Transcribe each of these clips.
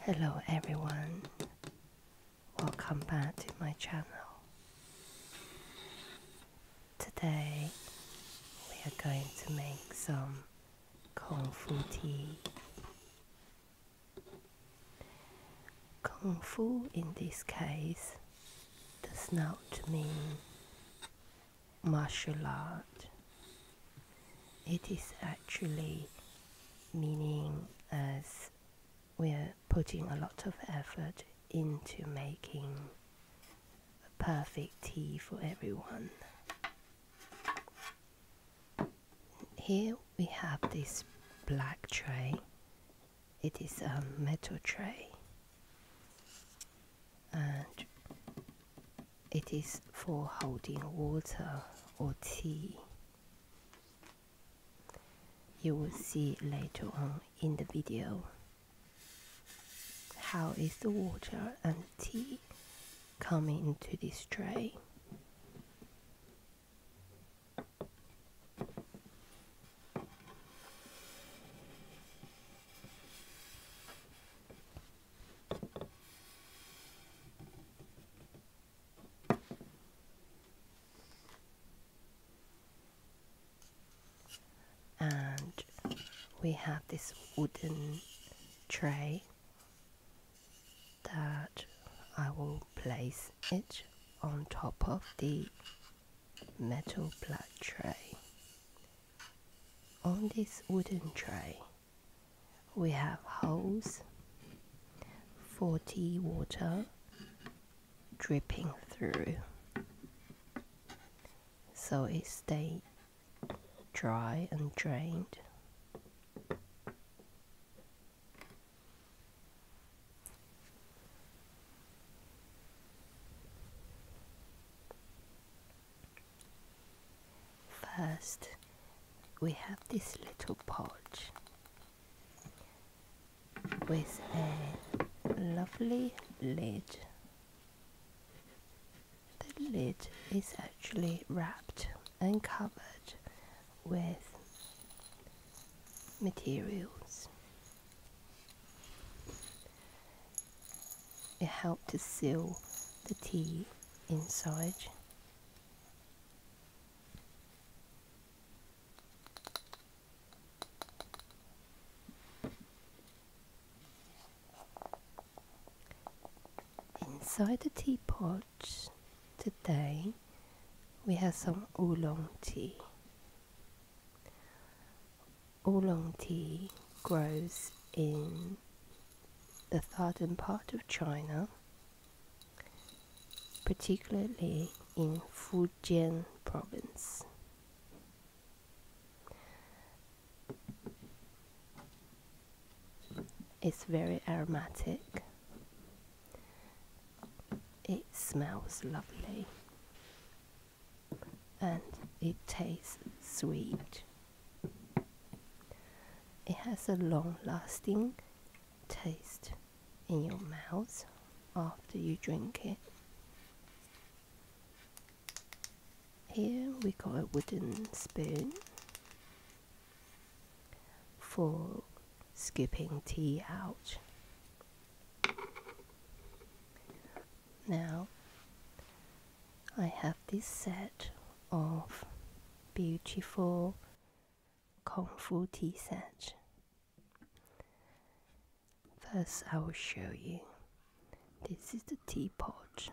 Hello everyone, welcome back to my channel. Today we are going to make some Kung Fu tea. Kung Fu in this case does not mean martial art it is actually meaning as we're putting a lot of effort into making a perfect tea for everyone. Here we have this black tray. It is a metal tray and it is for holding water or tea. You will see later on in the video how is the water and tea coming into this tray and we have this wooden tray that I will place it on top of the metal plate tray. On this wooden tray we have holes for tea water dripping through so it stay dry and drained. First, we have this little pouch with a lovely lid. The lid is actually wrapped and covered with materials. It helps to seal the tea inside Inside the teapot today we have some oolong tea. Oolong tea grows in the southern part of China, particularly in Fujian province. is very aromatic. It smells lovely and it tastes sweet. It has a long lasting taste in your mouth after you drink it. Here we got a wooden spoon for scooping tea out. Now, I have this set of beautiful Kung Fu tea set. First, I will show you. This is the teapot.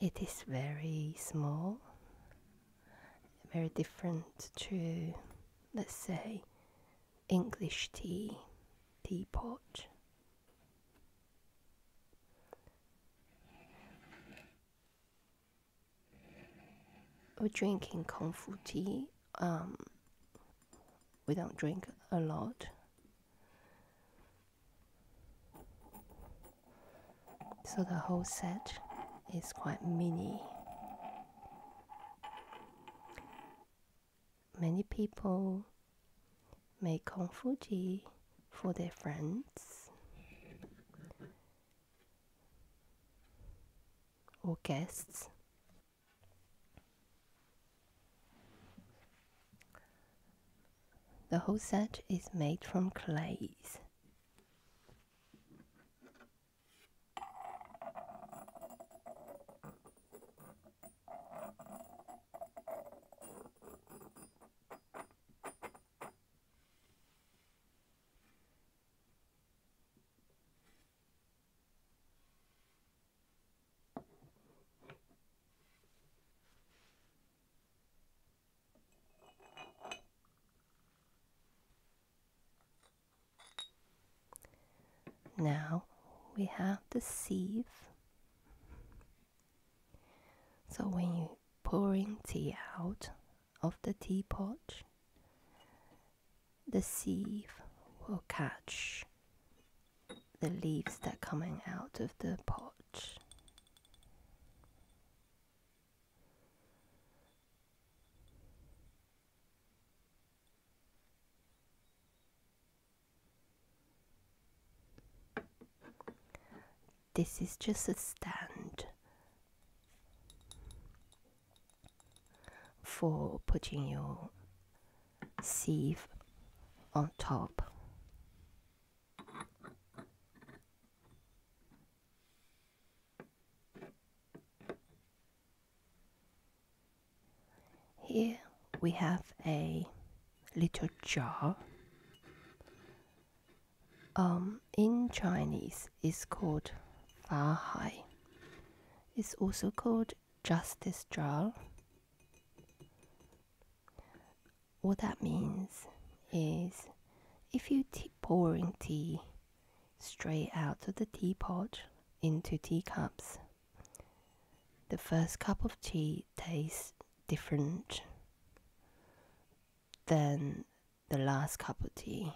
It is very small, very different to, let's say, English tea teapot. We're drinking Kung Fu tea. Um, we don't drink a lot. So the whole set is quite mini many people make Kong Fuji for their friends or guests. The whole set is made from clays. Now we have the sieve so when you're pouring tea out of the teapot, the sieve will catch the leaves that are coming out of the pot. This is just a stand for putting your sieve on top. Here we have a little jar. Um, in Chinese, it's called Fa Hai. It's also called Justice Jar. What that means is if you pouring tea straight out of the teapot into teacups, the first cup of tea tastes different than the last cup of tea.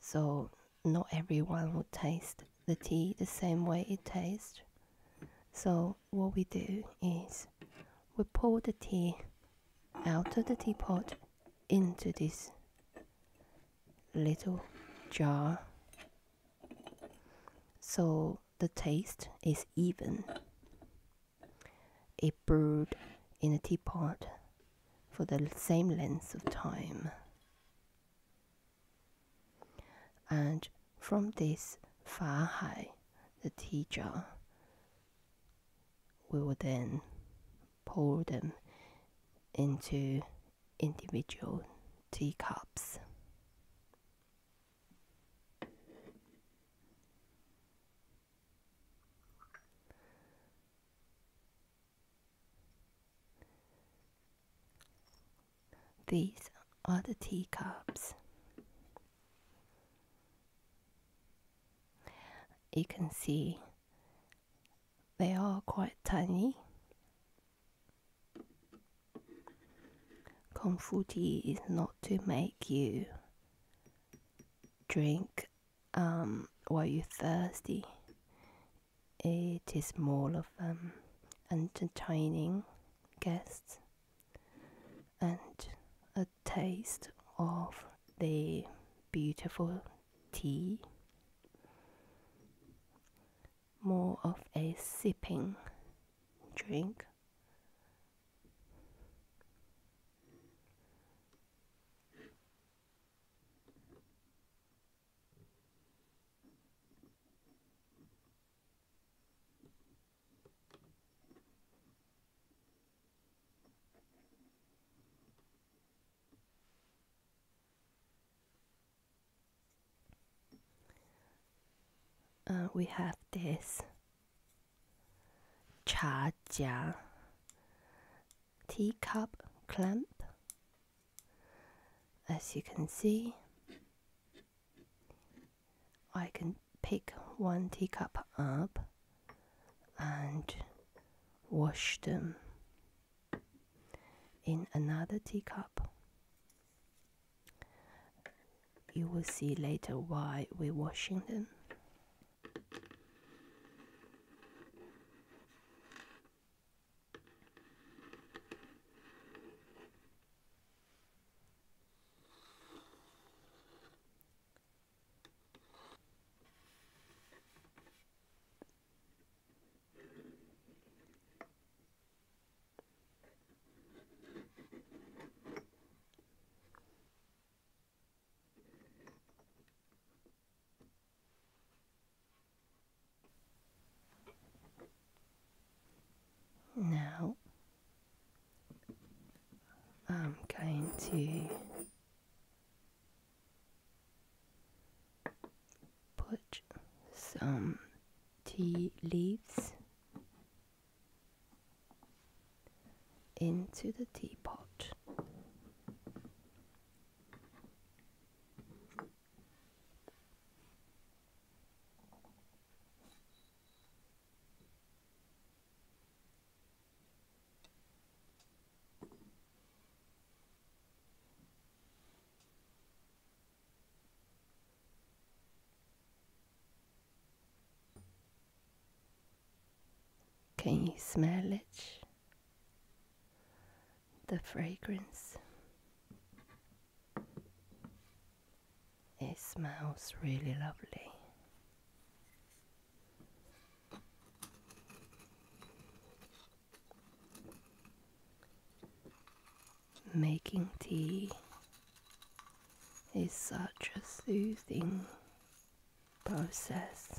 So, not everyone would taste the tea the same way it tastes. So, what we do is we pour the tea out of the teapot into this little jar so the taste is even. It brewed in a teapot for the same length of time. And from this fa hai, the tea jar, we will then pour them into individual teacups. These are the teacups. You can see they are quite tiny Kung Fu tea is not to make you drink um, while you're thirsty. It is more of um, entertaining guests and a taste of the beautiful tea more of a sipping drink. Uh, we have this cha jia teacup clamp as you can see I can pick one teacup up and wash them in another teacup, you will see later why we're washing them. Now I'm going to put some tea leaves into the teapot. Can you smell it? The fragrance. It smells really lovely. Making tea is such a soothing process.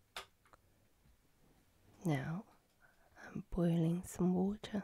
Now I'm boiling some water.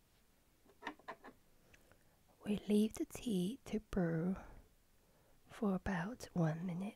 We leave the tea to brew for about one minute.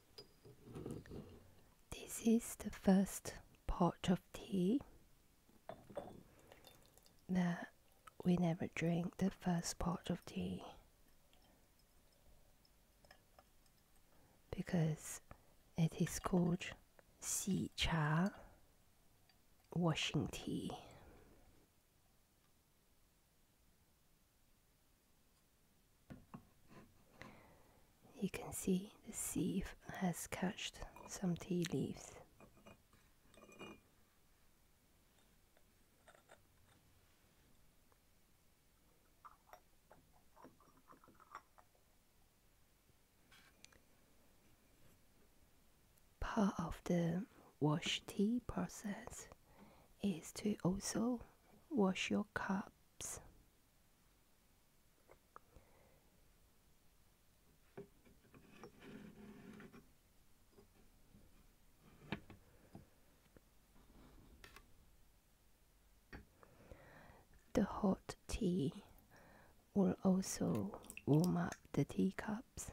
This is the first pot of tea that we never drink the first pot of tea because it is called si cha washing tea you can see the sieve has caught some tea leaves. Part of the wash tea process is to also wash your cups. The hot tea will also warm up the teacups.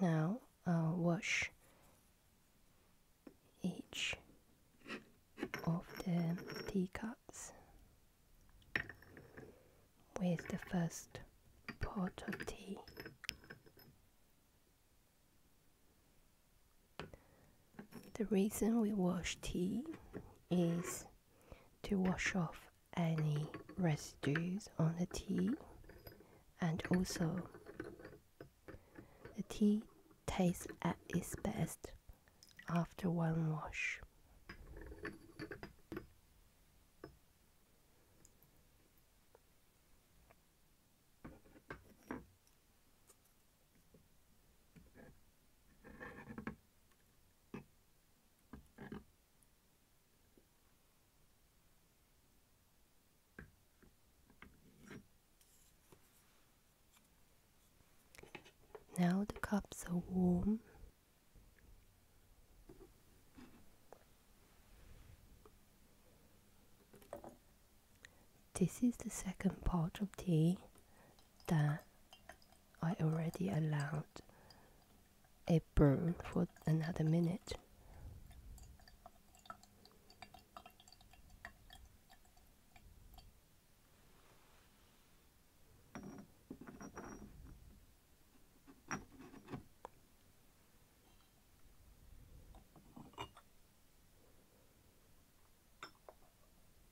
Now I'll wash each of the teacups with the first pot of tea. The reason we wash tea is to wash off any residues on the tea and also the tea tastes at its best after one wash. Now the cups are warm. This is the second pot of tea that I already allowed a burn for another minute.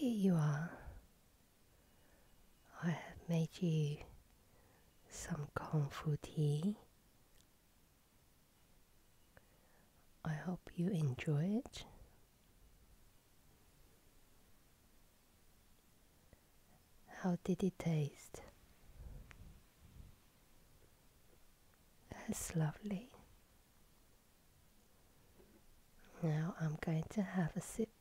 Here you are. I have made you some kung fu tea I hope you enjoy it. How did it taste? That's lovely. Now I'm going to have a sip.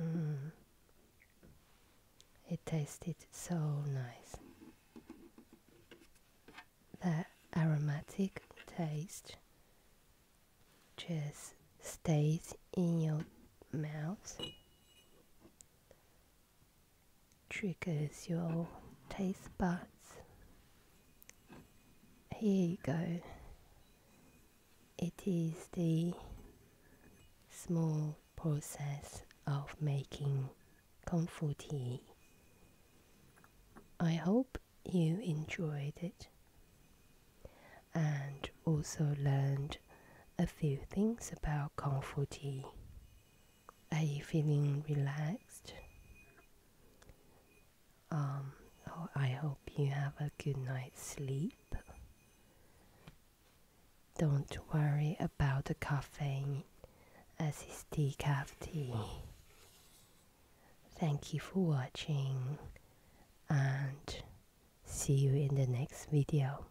Mm. It tasted so nice. The aromatic taste just stays in your mouth triggers your taste buds. Here you go. It is the small process of making kung fu tea. I hope you enjoyed it and also learned a few things about kung fu tea. Are you feeling relaxed? Um, oh, I hope you have a good night's sleep. Don't worry about the caffeine, as it's decaf tea. Thank you for watching, and see you in the next video.